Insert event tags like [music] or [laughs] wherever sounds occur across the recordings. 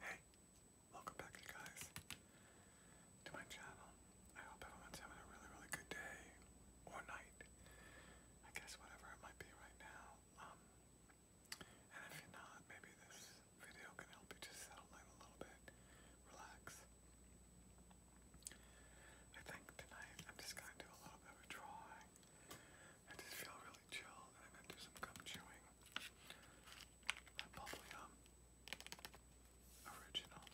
Hey, welcome back guys to my channel. I hope everyone's having a really, really good day or night. I guess whatever it might be right now. Um, and if you're not, maybe this video can help you just settle in a little bit, relax. I think tonight I'm just gonna do a little bit of drawing. I just feel really chill, I'm gonna do some gum chewing. bubblegum, original.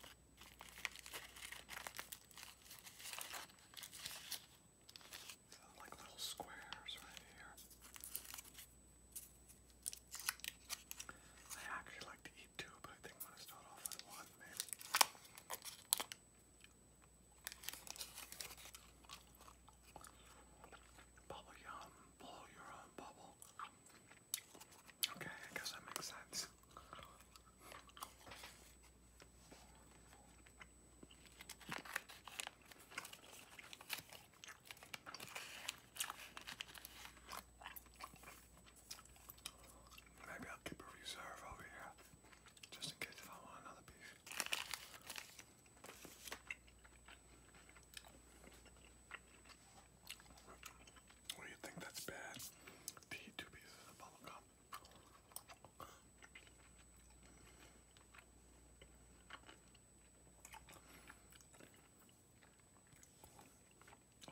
like little squares right here. I actually like to eat two, but I think I'm gonna start off with one, maybe. Bubble yum, blow your own bubble. Okay, I guess that makes sense. Maybe I'll keep a reserve over here just in case if I want another piece. What do you think that's bad? two pieces of bubble gum.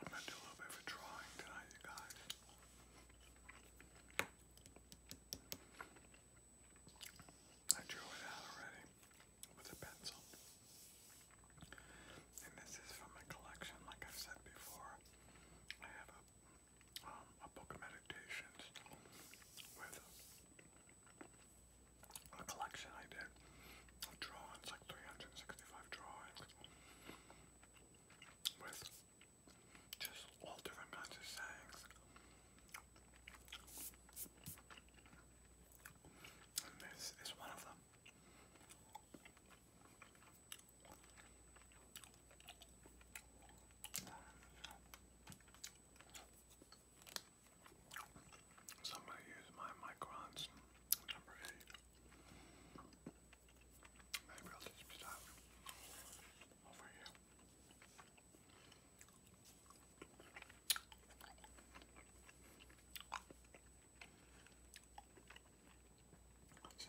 I'm gonna do a little bit of a drawing tonight, guys. I drew it out already with a pencil. And this is from my collection, like I've said before. I have a, um, a book of meditations with a collection I did drawings, like 365 drawings, with just all different kinds of sayings. And this is one of them. So I'm going to use my microns number eight. Maybe I'll just stop over here. Let's see.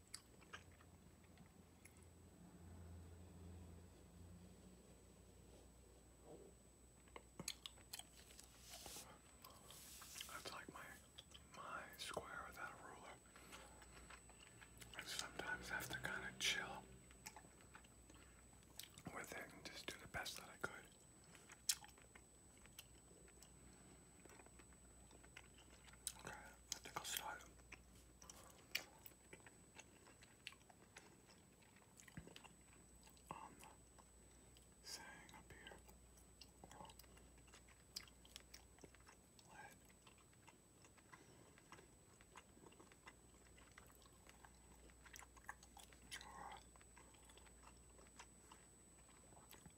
That's like my my square without a ruler. I have to kind of chill with it and just do the best that I could. Okay, I think I'll start. Um, saying up here,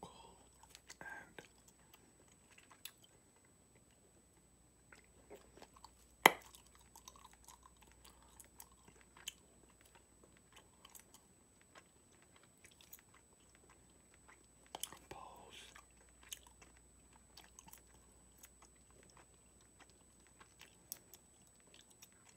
cool and balls.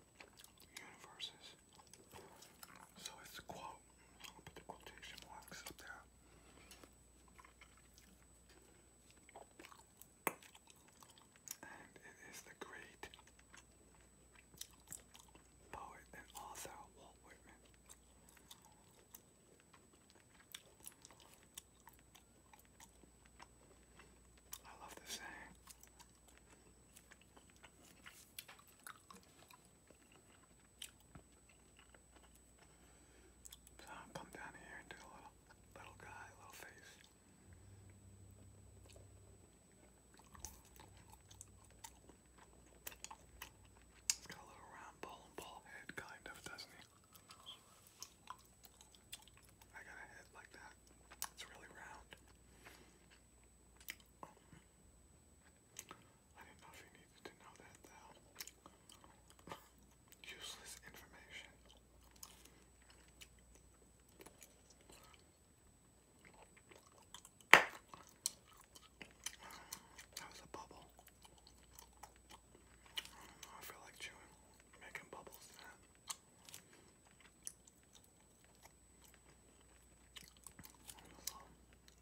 universes. So it's a quote. I'll put the quotation marks up there. And it is the great poet and author Walt Whitman. I love this saying. So i come down here and do a little, little guy, little face. got a little round ball ball head, kind of, doesn't he? I got a head like that. It's really round. Um, I didn't know if you needed to know that though. [laughs] Useless information. Um, that was a bubble. I feel like chewing, making bubbles Little,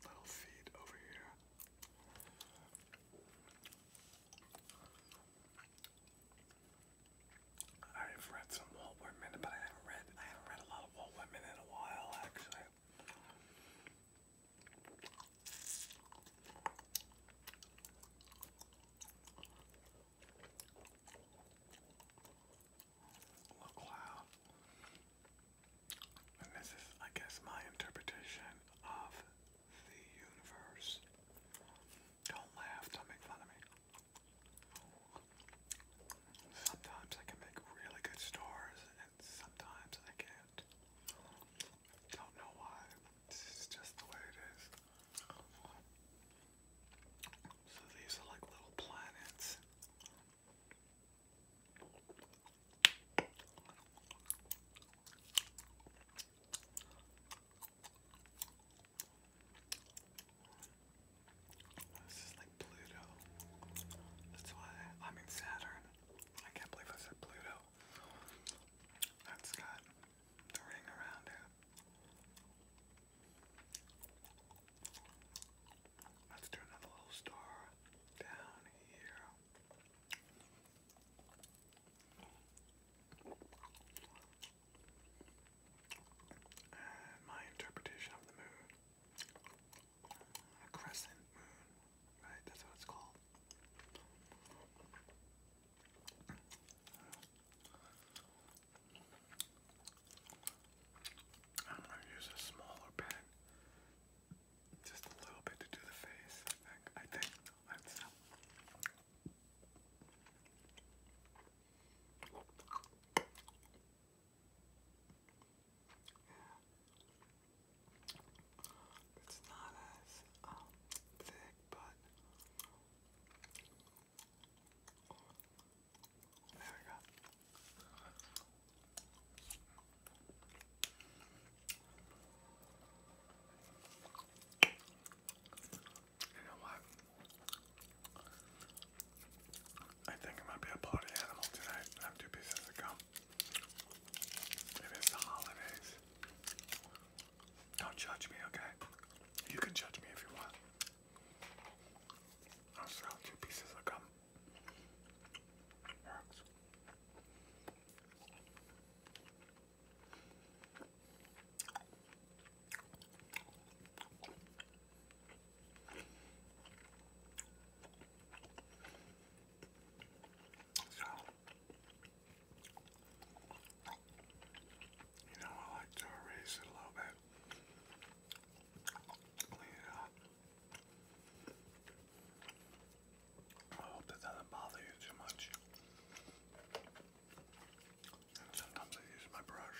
little feet over here. I've read some Walt Whitman, but I haven't read I haven't read a lot of Walt Whitman in a while actually. Look, wow. And this is, I guess, my interpretation of the universe. Don't laugh, don't make fun of me. Sometimes I can make really good stars, and sometimes I can't. Don't know why. This is just the way it is. So these are like little planets. This is like Pluto. That's why I mean Saturn. I can't believe I said Pluto. That's the ring around it. Let's do another little star down here. And my interpretation of the moon. A crescent moon, right? That's what it's called. I'm going to use a smaller pen, just a little bit to do the face. I think. I think It's not as um, thick, but there You I think it might be a party animal tonight. I have two pieces of gum. it's the holidays. Don't judge me, okay? You can judge me if you want. I'll throw two pieces of gum. So you know, I like to erase it a little bit. Clean it up. I hope that doesn't bother you too much. sometimes I use my brush.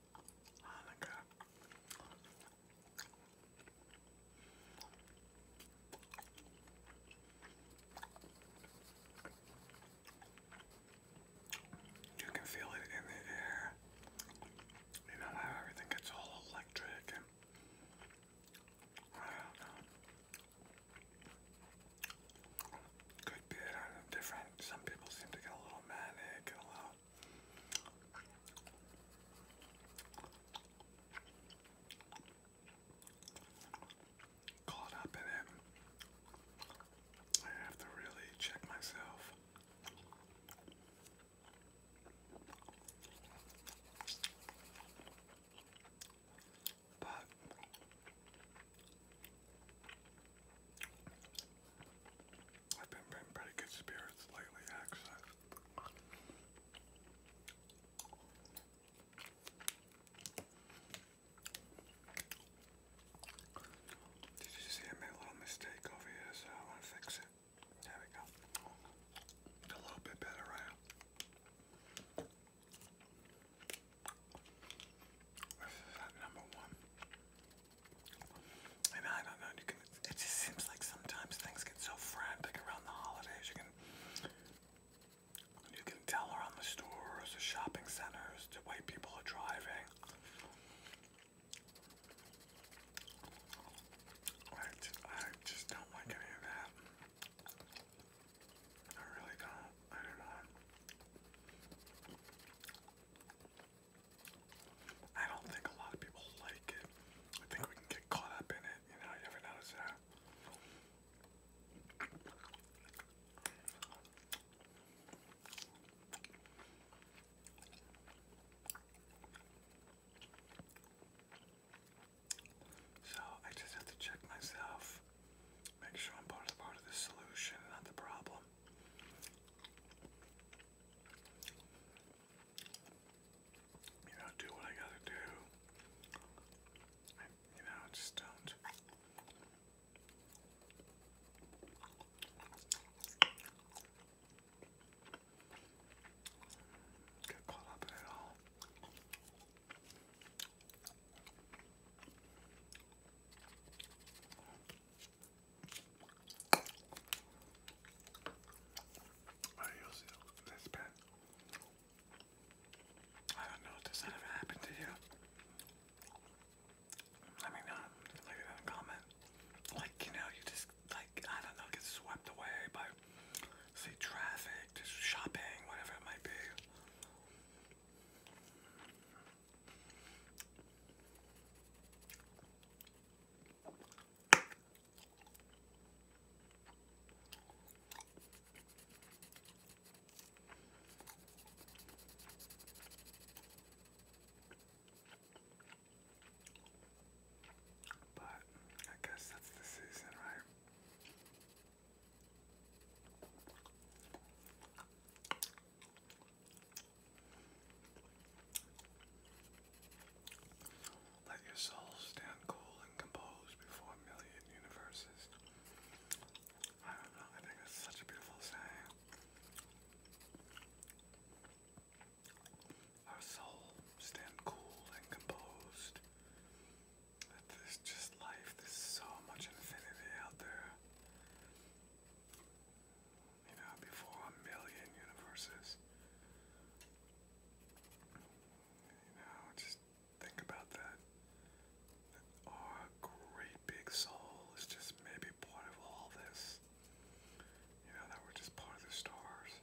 Hanukkah. You can feel it in the air. You know how everything gets all electric I don't know. Could be different. Some people seem to get a little manic and a little. Caught up in it. I have to really check myself. But I've been in pretty good spirits lately, actually. Did you see I made a little mistake over here, so I want to fix it. There we go. a little bit better, right? This number one. And I don't know, you can, it just seems like sometimes things get so frantic around the holidays. You can you can tell around the stores, the shopping centers, the way people are driving. I just, I just don't like any of that. I really don't. I don't know. I don't think a lot of people like it. I think we can get caught up in it, you know, you ever notice that? So I just have to check myself Make sure I'm part of, part of the solution, not the problem. You know, do what I gotta do. you know, just don't. Get caught up in all. I don't know if this ever happened to you. I mean, um, leave it in a comment. Like, you know, you just, like, I don't know, get swept away by, say, traffic, just shopping, whatever it might be. But I guess that's the season, right? Let your soul stand cool and composed before a million universes. I don't know, I such a beautiful saying. Our soul stand cool and composed there's just life, there's so much infinity out there. You know, before a million universes. You know, just think about that. that our great big soul is just maybe part of all this. You know, that we're just part of the stars.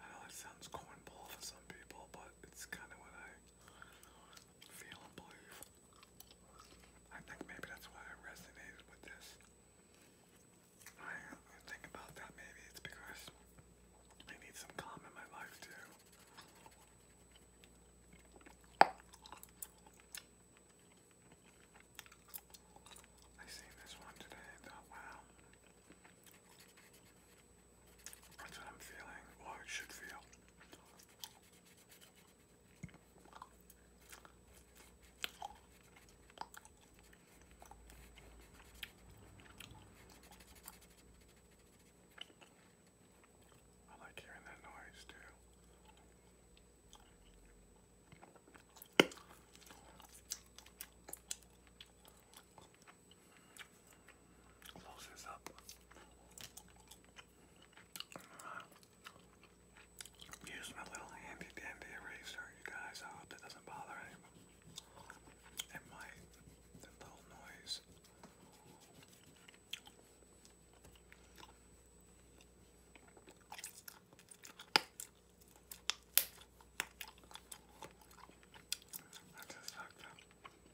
I know that sounds cornball for some people, but it's kind of what I feel and believe. I think maybe that's why I resonated with this. I uh, think about that maybe it's because I need some calm in my life too. I seen this one today and thought, wow. That's what I'm feeling, or it should feel. I like hearing that noise too. Close this up. use my little handy dandy eraser, you guys. I hope it doesn't bother anyone. It might. That little noise. I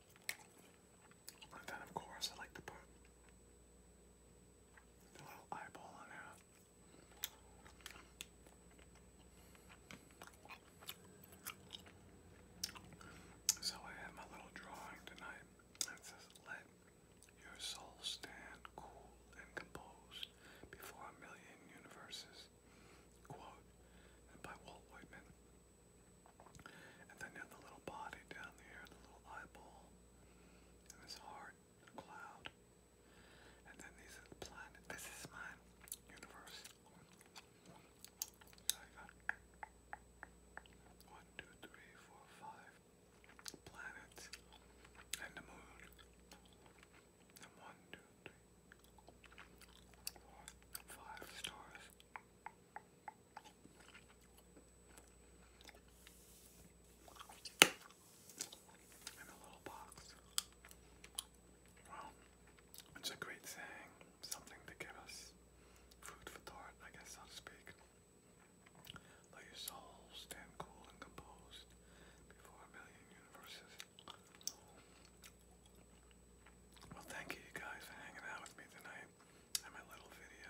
And then, of course, I like to put the little eyeball on there. So I have my little drawing tonight. It says, "Let your soul stand cool and composed before a million universes." Quote, and by Walt Whitman. And then you have the little body down there, the little eyeball, and this heart, and cloud. And then these are the planets. This is my universe. one, two, three, four, five planets and the moon. one, two, three, four, five stars in a it's a great saying, something to give us food for thought, I guess, so to speak. Let your soul stand cool and composed before a million universes. Well, thank you guys for hanging out with me tonight my little video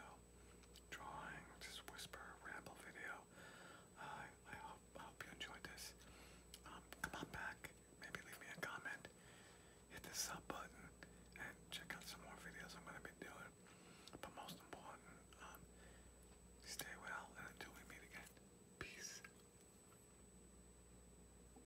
drawing, just whisper ramble video. I hope, you enjoyed this. Um, come on back, maybe leave me a comment, hit the sub button, and check out some more videos I'm going to be doing. But most important, um, stay well, and until we meet again, peace.